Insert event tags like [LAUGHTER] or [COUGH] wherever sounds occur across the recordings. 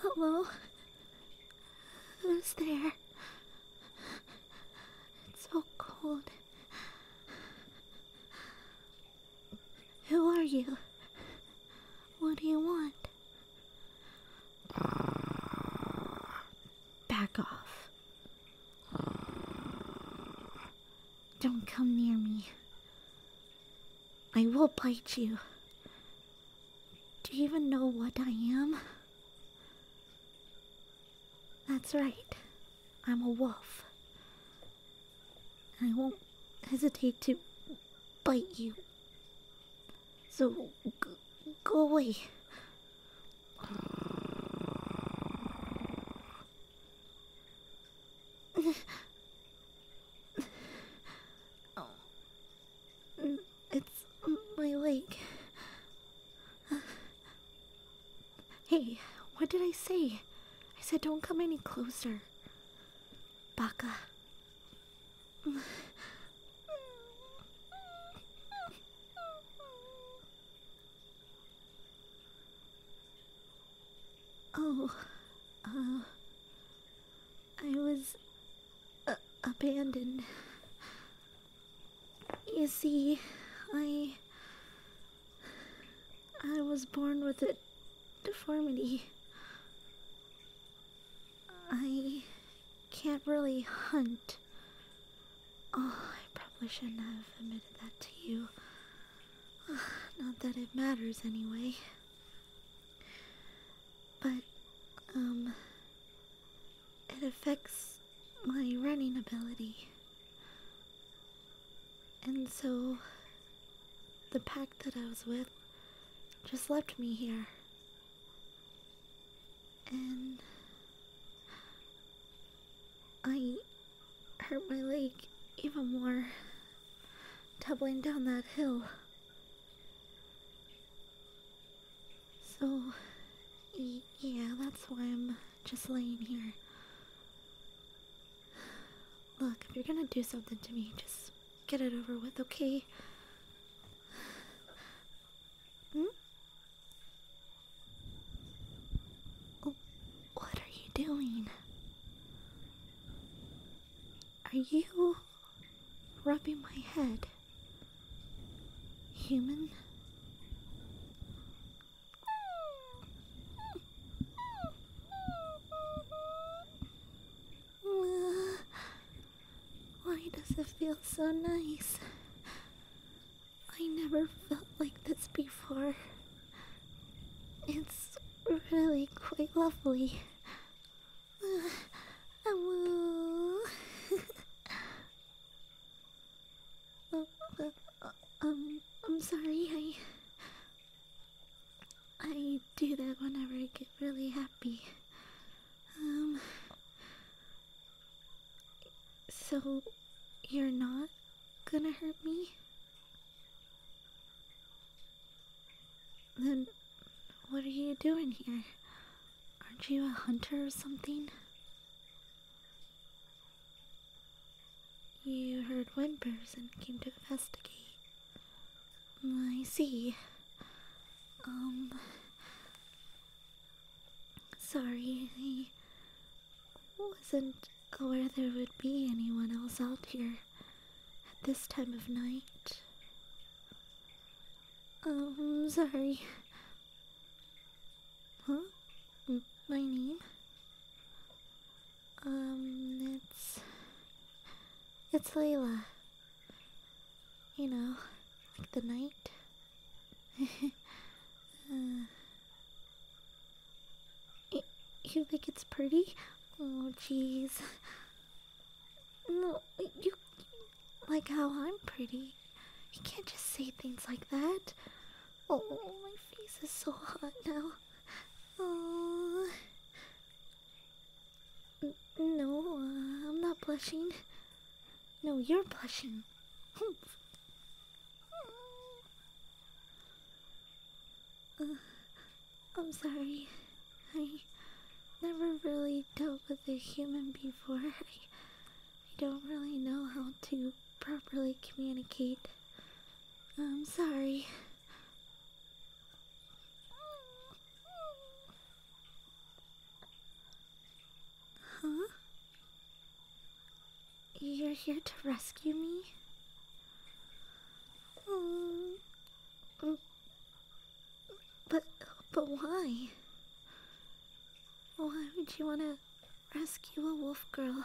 Hello? Who's there? It's so cold. Who are you? What do you want? Back off. Don't come near me. I will bite you. Do you even know what I am? That's right. I'm a wolf. I won't hesitate to bite you. So go away. [LAUGHS] oh. It's my leg. Hey, what did I say? I said don't come any closer. Baka. Oh, uh, I was uh, abandoned. You see, I. I was born with a deformity. I can't really hunt. Oh, I probably shouldn't have admitted that to you. [SIGHS] Not that it matters anyway. But, um, it affects my running ability. And so, the pack that I was with just left me here. And I hurt my leg even more, doubling down that hill. So, yeah, that's why I'm just laying here. Look, if you're gonna do something to me, just get it over with, okay? Hmm? Oh, what are you doing? Are you rubbing my head? Human? [SIGHS] Why does it feel so nice? I never felt like this before. It's really quite lovely um, um, I'm sorry, I... I do that whenever I get really happy. Um... So, you're not gonna hurt me? Then, what are you doing here? Aren't you a hunter or something? You heard whimpers and came to investigate. I see. Um. Sorry, I wasn't aware there would be anyone else out here at this time of night. Um, sorry. Huh? My name? Um, it's... It's Layla. You know, like the night. [LAUGHS] uh, you, you think it's pretty? Oh, jeez. No, you like how I'm pretty. You can't just say things like that. Oh, my face is so hot now. Oh. no, I'm not blushing. No, you're blushing. [LAUGHS] uh, I'm sorry. I never really dealt with a human before. [LAUGHS] I, don't really know how to properly communicate. I'm sorry. Huh? You're here to rescue me? Oh. But, but why? Why would you want to rescue a wolf girl?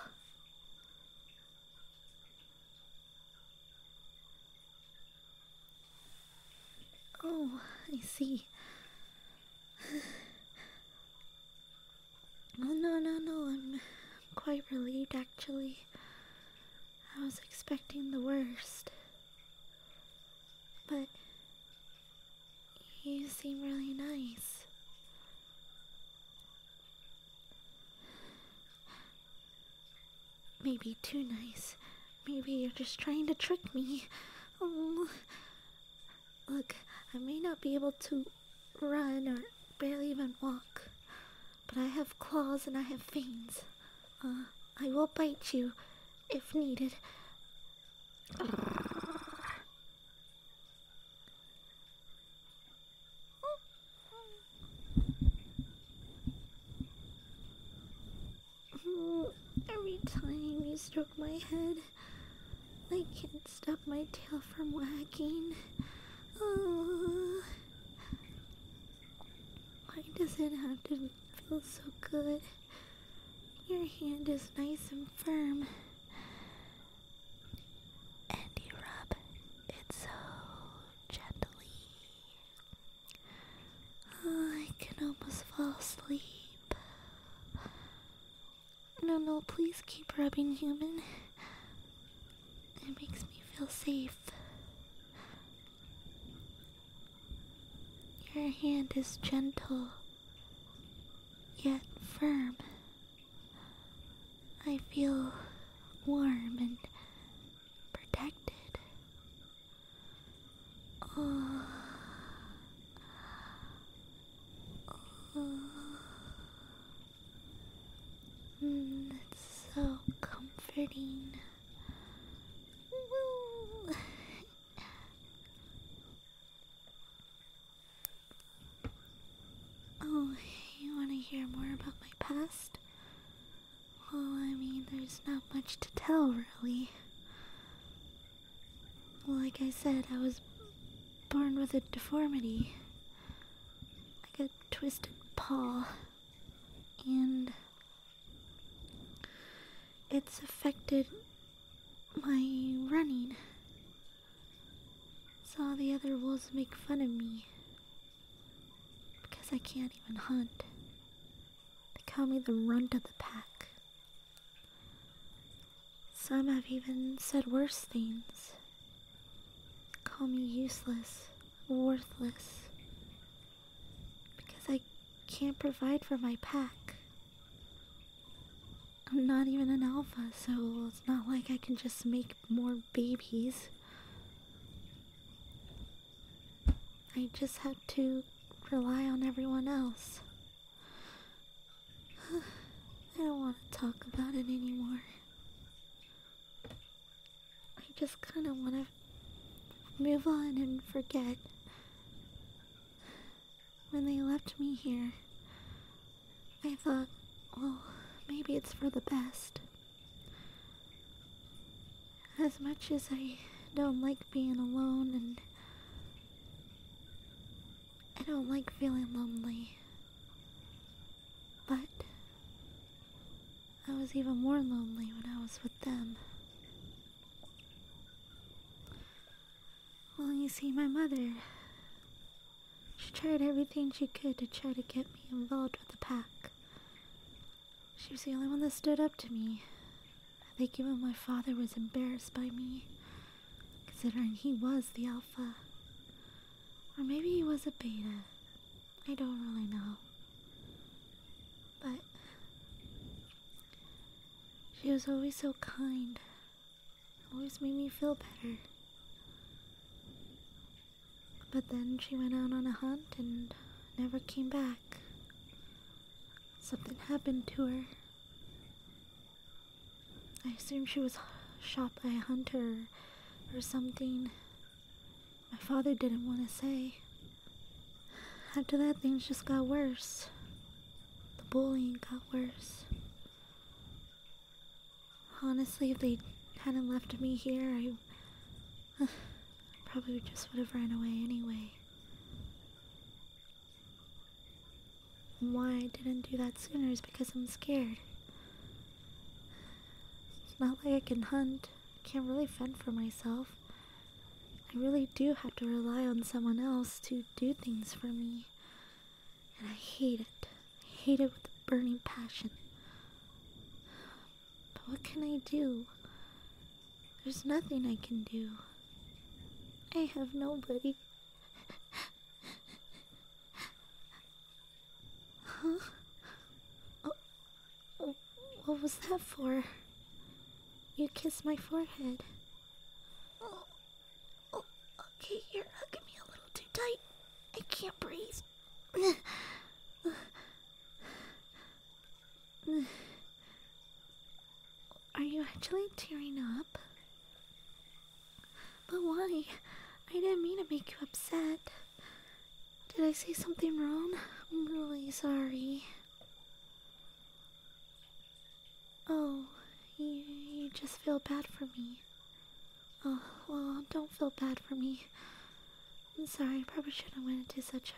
Oh, I see. [SIGHS] oh, no, no, no, I'm quite relieved actually. I was expecting the worst. But you seem really nice. Maybe too nice. Maybe you're just trying to trick me. Oh. Look, I may not be able to run or barely even walk, but I have claws and I have fangs. Uh, I will bite you if needed. Every time you stroke my head, I can't stop my tail from wagging. Why does it have to feel so good? Your hand is nice and firm. And you rub it so gently. Oh, I can almost fall asleep. No, no, please keep rubbing, human. It makes me feel safe. Your hand is gentle, yet firm. I feel warm and protected. Oh. Oh. Mm, it's so comforting. Oh, you want to hear more about my past? Well, I mean, there's not much to tell, really. Like I said, I was born with a deformity. Like a twisted paw. And it's affected my running. Saw the other wolves make fun of me because I can't even hunt. They call me the runt of the pack. Some have even said worse things. Call me useless worthless because I can't provide for my pack. I'm not even an alpha, so it's not like I can just make more babies. I just have to rely on everyone else. [SIGHS] I don't want to talk about it anymore. I just kind of want to Move on and forget. When they left me here, I thought, well, maybe it's for the best. As much as I don't like being alone and I don't like feeling lonely, but I was even more lonely when I was with them. Well, you see, my mother. She tried everything she could to try to get me involved with the pack. She was the only one that stood up to me. I think even my father was embarrassed by me, considering he was the alpha. Or maybe he was a beta. I don't really know. But she was always so kind. Always made me feel better. But then she went out on a hunt and never came back. Something happened to her. I assume she was shot by a hunter or something my father didn't want to say. After that, things just got worse. The bullying got worse. Honestly, if they hadn't left me here, I uh, probably just would have ran away anyway. Why I didn't do that sooner is because I'm scared. It's not like I can hunt can't really fend for myself. I really do have to rely on someone else to do things for me. And I hate it. I hate it with a burning passion. But what can I do? There's nothing I can do. I have nobody. [LAUGHS] Huh? Oh, oh, what was that for? You kissed my forehead. Oh, oh, okay, you're hugging me a little too tight. I can't breathe. Are you actually tearing up? But why? I didn't mean to make you upset. Did I say something wrong? I'm really sorry. Oh, you, just feel bad for me. Oh, well, don't feel bad for me. I'm sorry, I probably shouldn't have went into such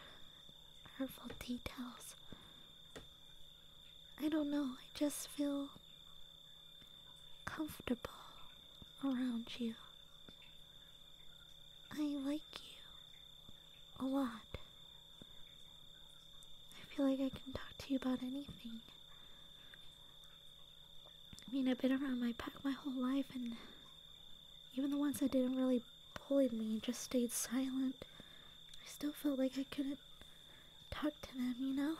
hurtful details. I don't know, I just feel comfortable around you. I like you a lot. I feel like I can talk to you about anything. I mean, I've been around my pack my whole life, and even the ones that didn't really bully me just stayed silent. I still felt like I couldn't talk to them, you know?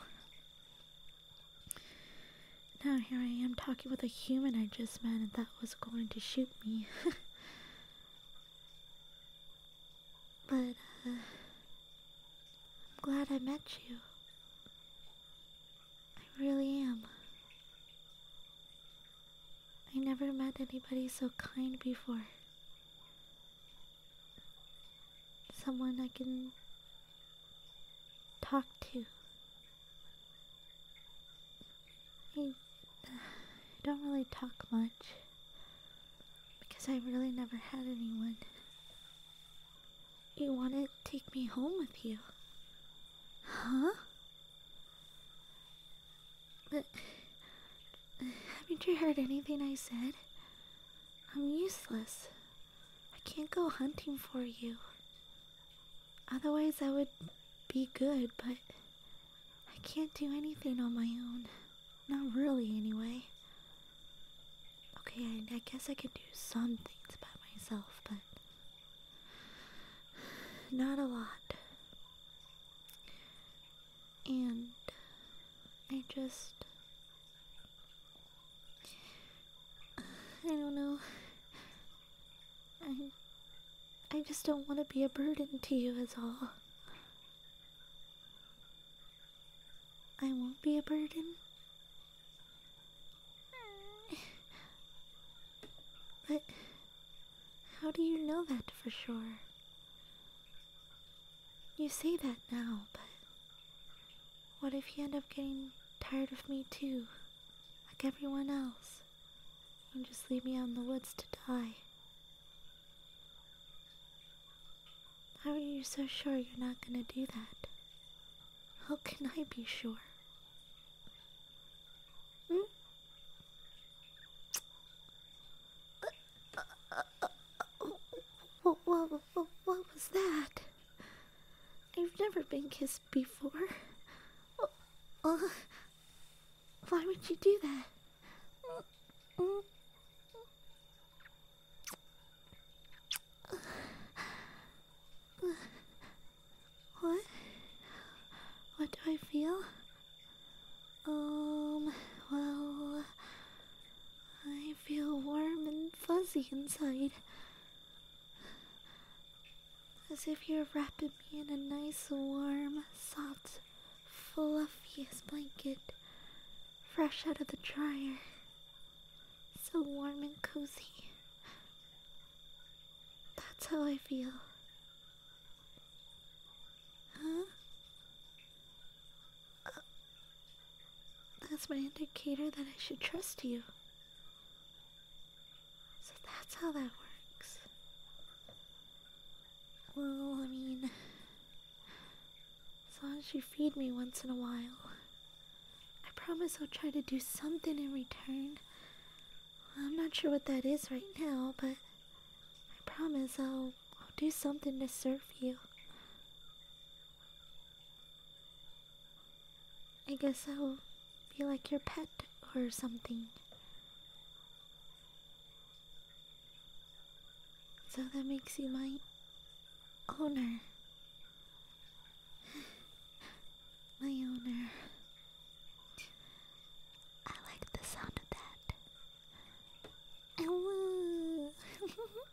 Now here I am talking with a human I just met and that was going to shoot me. [LAUGHS] but, uh, I'm glad I met you. I really am. I never met anybody so kind before. Someone I can talk to I don't really talk much because I really never had anyone. You want to take me home with you? Huh? But haven't you heard anything I said? I'm useless. I can't go hunting for you. Otherwise, I would be good, but I can't do anything on my own. Not really, anyway. Okay, I, I guess I can do some things by myself, but not a lot. And I just I don't know. I. I just don't want to be a burden to you, at all. I won't be a burden. But how do you know that for sure? You say that now, but what if you end up getting tired of me too? Like everyone else. And just leave me out in the woods to die. How are you so sure you're not gonna do that? How can I be sure? Hmm? what, what, was that? I've never been kissed before? Oh, oh, why would you do that? what? What do I feel? Um, well, I feel warm and fuzzy inside. As if you're wrapping me in a nice, warm, soft, fluffiest blanket, fresh out of the dryer. So warm and cozy. That's how I feel. Huh? Uh, that's my indicator that I should trust you. So that's how that works. Well, I mean, as long as you feed me once in a while, I promise I'll try to do something in return. I'm not sure what that is right now, but I promise I'll, do something to serve you. I guess I'll be like your pet or something. So that makes you my owner. [SIGHS] my owner. I like the sound of that. Hello. [LAUGHS]